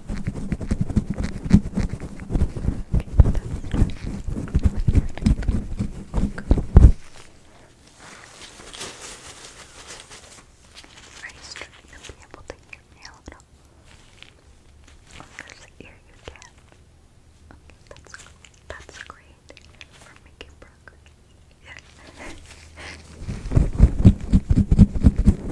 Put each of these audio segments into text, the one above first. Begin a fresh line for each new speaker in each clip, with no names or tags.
Are you struggling to be able to hear me a little? On this you can. that's That's great for making progress. Yeah. Alright,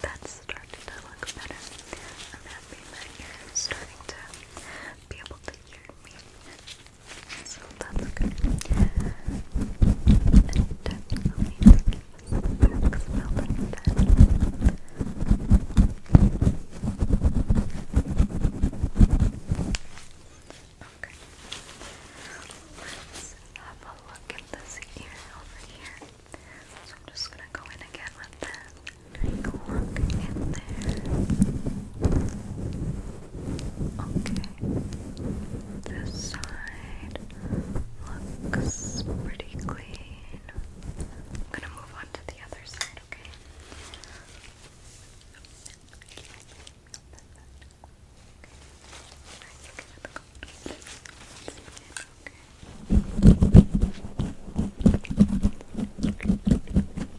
that's starting to look better. I'm happy that you're starting to be able to hear So that's good. Okay. Let's have a look at this ear over here. So I'm just gonna go in again with this. Take a look in there. Okay. This side looks pretty clean. I'm gonna move on to the other side, okay? Okay.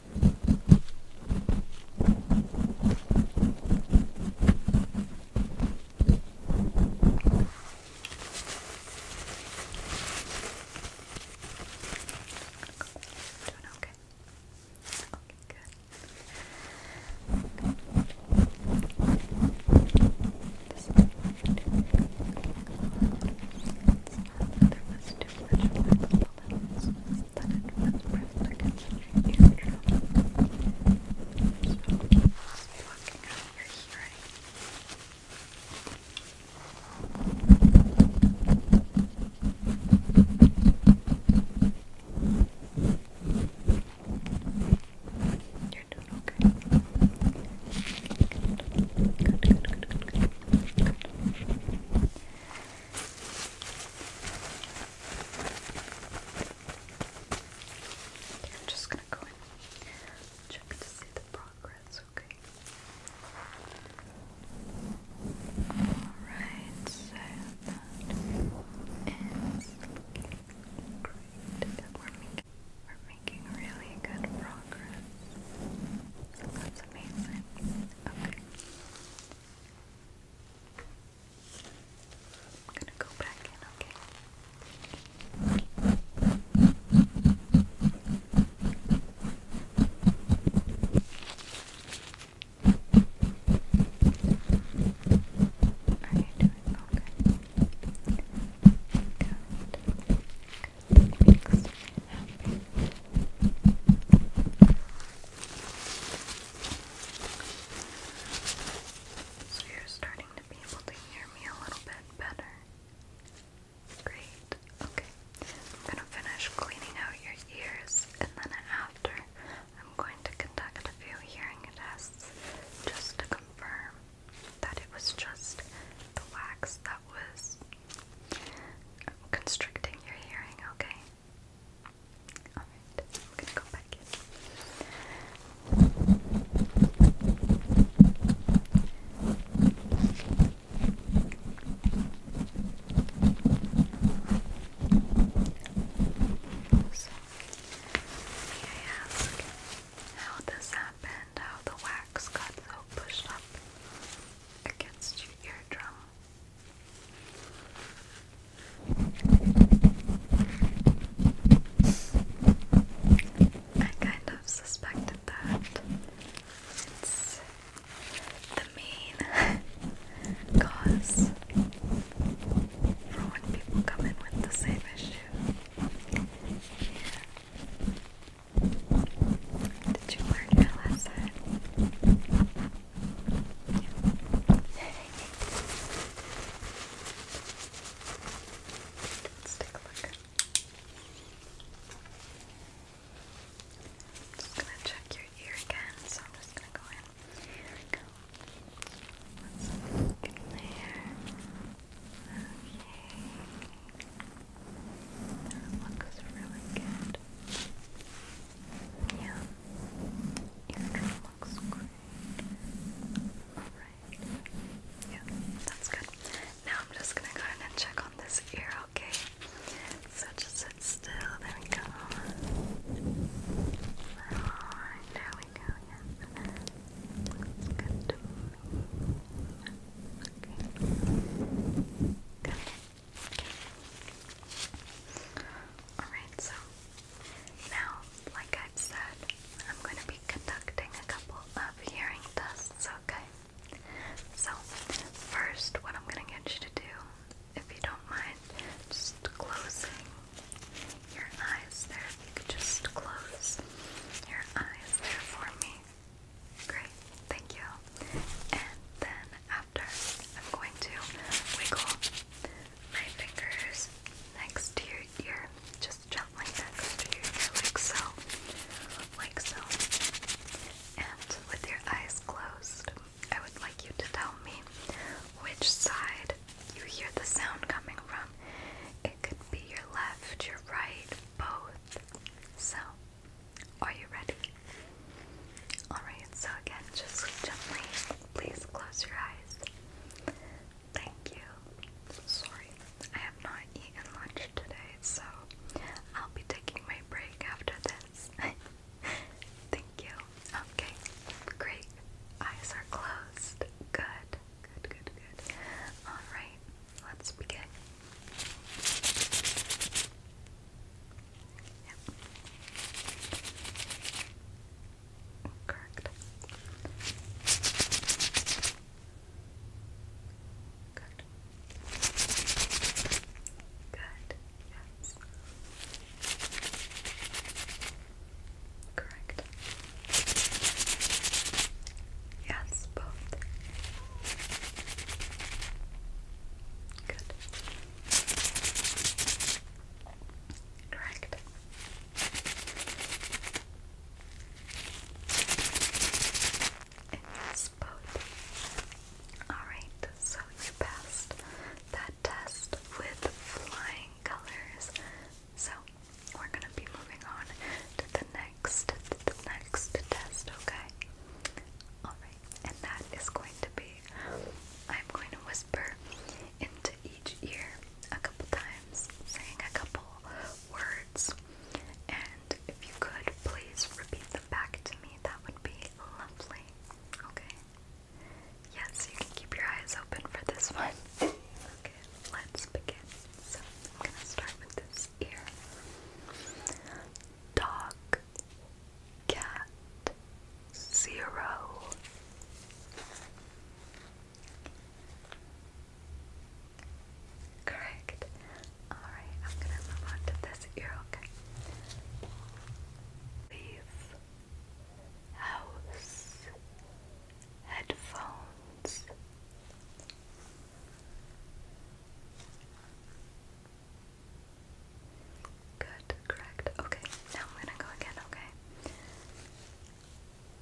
Doing okay. Okay, good. This is it's not that there was too much, but a little bit. This was that it was pressed against your eardrum. So it's blocking out your hearing. You're doing okay. Good, good, good, good, good, good. Okay, I'm just gonna go in check to see the progress, okay? Alright, so that is looking great. We're making, we're making really good progress. That's amazing. Okay. I'm gonna go back in, okay? Are you doing okay? makes So you're starting to be able to hear me a little bit better. Great. Okay. I'm going to finish cleaning out your ears and then after I'm going to conduct a few hearing tests just to confirm that it was just the wax that that was constricting your hearing, okay? Alright, I'm gonna go back in. So, may I ask how this happened, how the wax got so pushed up? against your eardrum. I kind of suspected that. It's the main cause for when people come in with the same issue. Yeah. Did you learn your lesson? Let's take a look. just gonna check your ear again, so I'm just gonna go in. there. That looks really good. Yeah. Eardrum looks great. Alright. Yeah, that's good. Now I'm just gonna go ahead and check on this ear, okay? So just sit still. There we go. there we go. Yeah. Looks good Okay. Good. Alright, so now, like i said, I'm going to be conducting a couple of hearing tests, okay? So, first, what I'm going to get you to do, if you don't mind, just closing your eyes there. If you could just close your eyes there for me. Great, thank you. And then after, I'm going to wiggle my fingers next to your ear, just gently next to your ear, like so, like so. And with your eyes closed, I would like you to tell me which side you hear the sound coming from. It could be your left, your right, both. So are you ready? Alright, so again, just gently, please close your eyes. Thank you. Sorry, I have not eaten lunch today, so I'll be taking my break after this. Thank you. Okay, great. Eyes are closed. Good, good, good, good. Alright, let's begin. Correct. Good. Good. Yes. Correct. Yes, both. Good. Correct. yes, both. Alright, so you passed that test with flying colors. So we're gonna be moving on to the next next the next test, okay? Alright, and that is going to be I'm going to whisper into each ear a couple times, saying a couple words. And if you could please repeat them back to me, that would be lovely. Okay. Yes, you can keep your eyes open for this one. Okay, let's begin. So I'm gonna start with this ear. Dog, cat, zero. Correct. All right, I'm gonna move on to this ear. Okay. Leave. House. Headphones. Good, correct. Okay, now I'm gonna go again,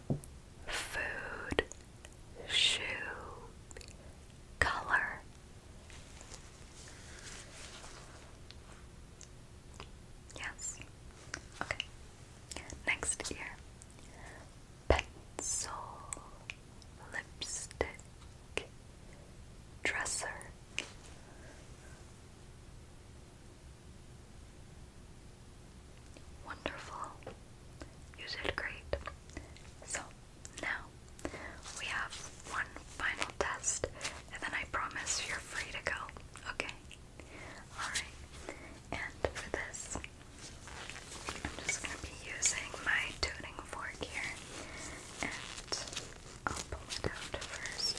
okay? Food, shoe, color. Yes. Okay. Next ear pencil, lipstick, dresser. Wonderful. You did great. So, now we have one final test, and then I promise you're free to go. Okay? Alright. And for this, I'm just going to be using my tuning fork here, and I'll pull it out first,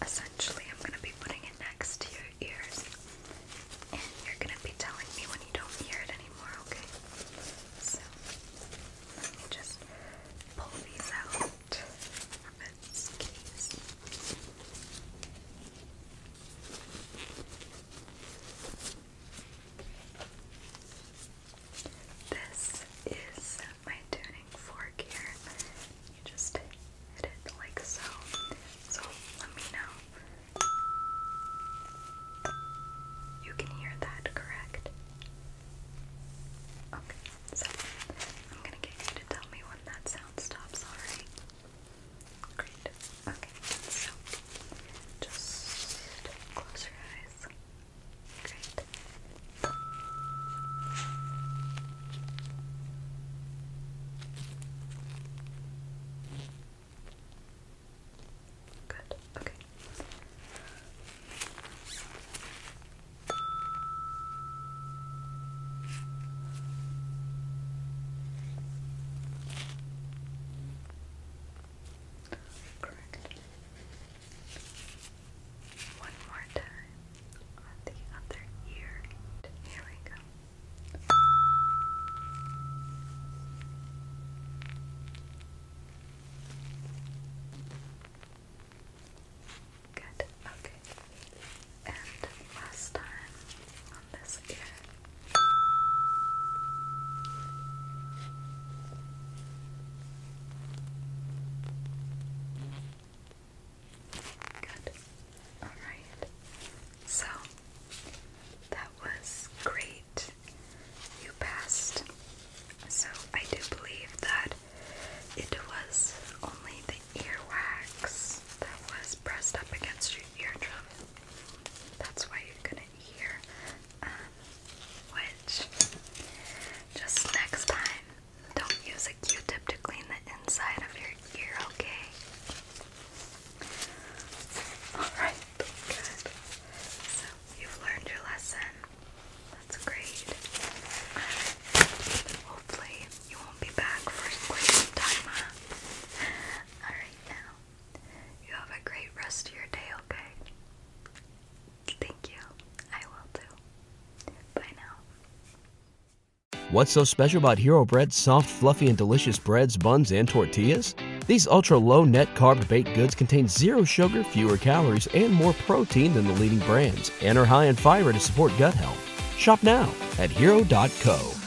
essentially I'm going to be putting it next to your ears, and you're going to be telling me when you don't hear it anymore, okay? So, let me just pull these out from its case. This is my tuning fork here. You just hit it like so. So let me know. You can hear that, correct? Okay, so I'm gonna get you to tell me when that sound stops, alright? Great. Okay, so just close your eyes. Great. Good. Okay. Okay correctly. One more time on the other ear. Here we go. Good. Okay. And last time Good. Alright. So, that was great. You passed. So, I do believe that it was only the earwax that was pressed up against your eardrum that's why you couldn't hear. Um, which, just next time, don't use a Q-tip to clean the inside of your ear, okay? Alright, good. So, you've learned your lesson. That's great. hopefully, you won't be back for quite some time, Alright, now, you have a great rest of your day, okay? Thank you. I will too. Bye now. What's so special about Hero Bread's soft, fluffy, and delicious breads, buns, and tortillas? These ultra low net carb baked goods contain zero sugar, fewer calories, and more protein than the leading brands, and are high in fiber to support gut health. Shop now at hero.co.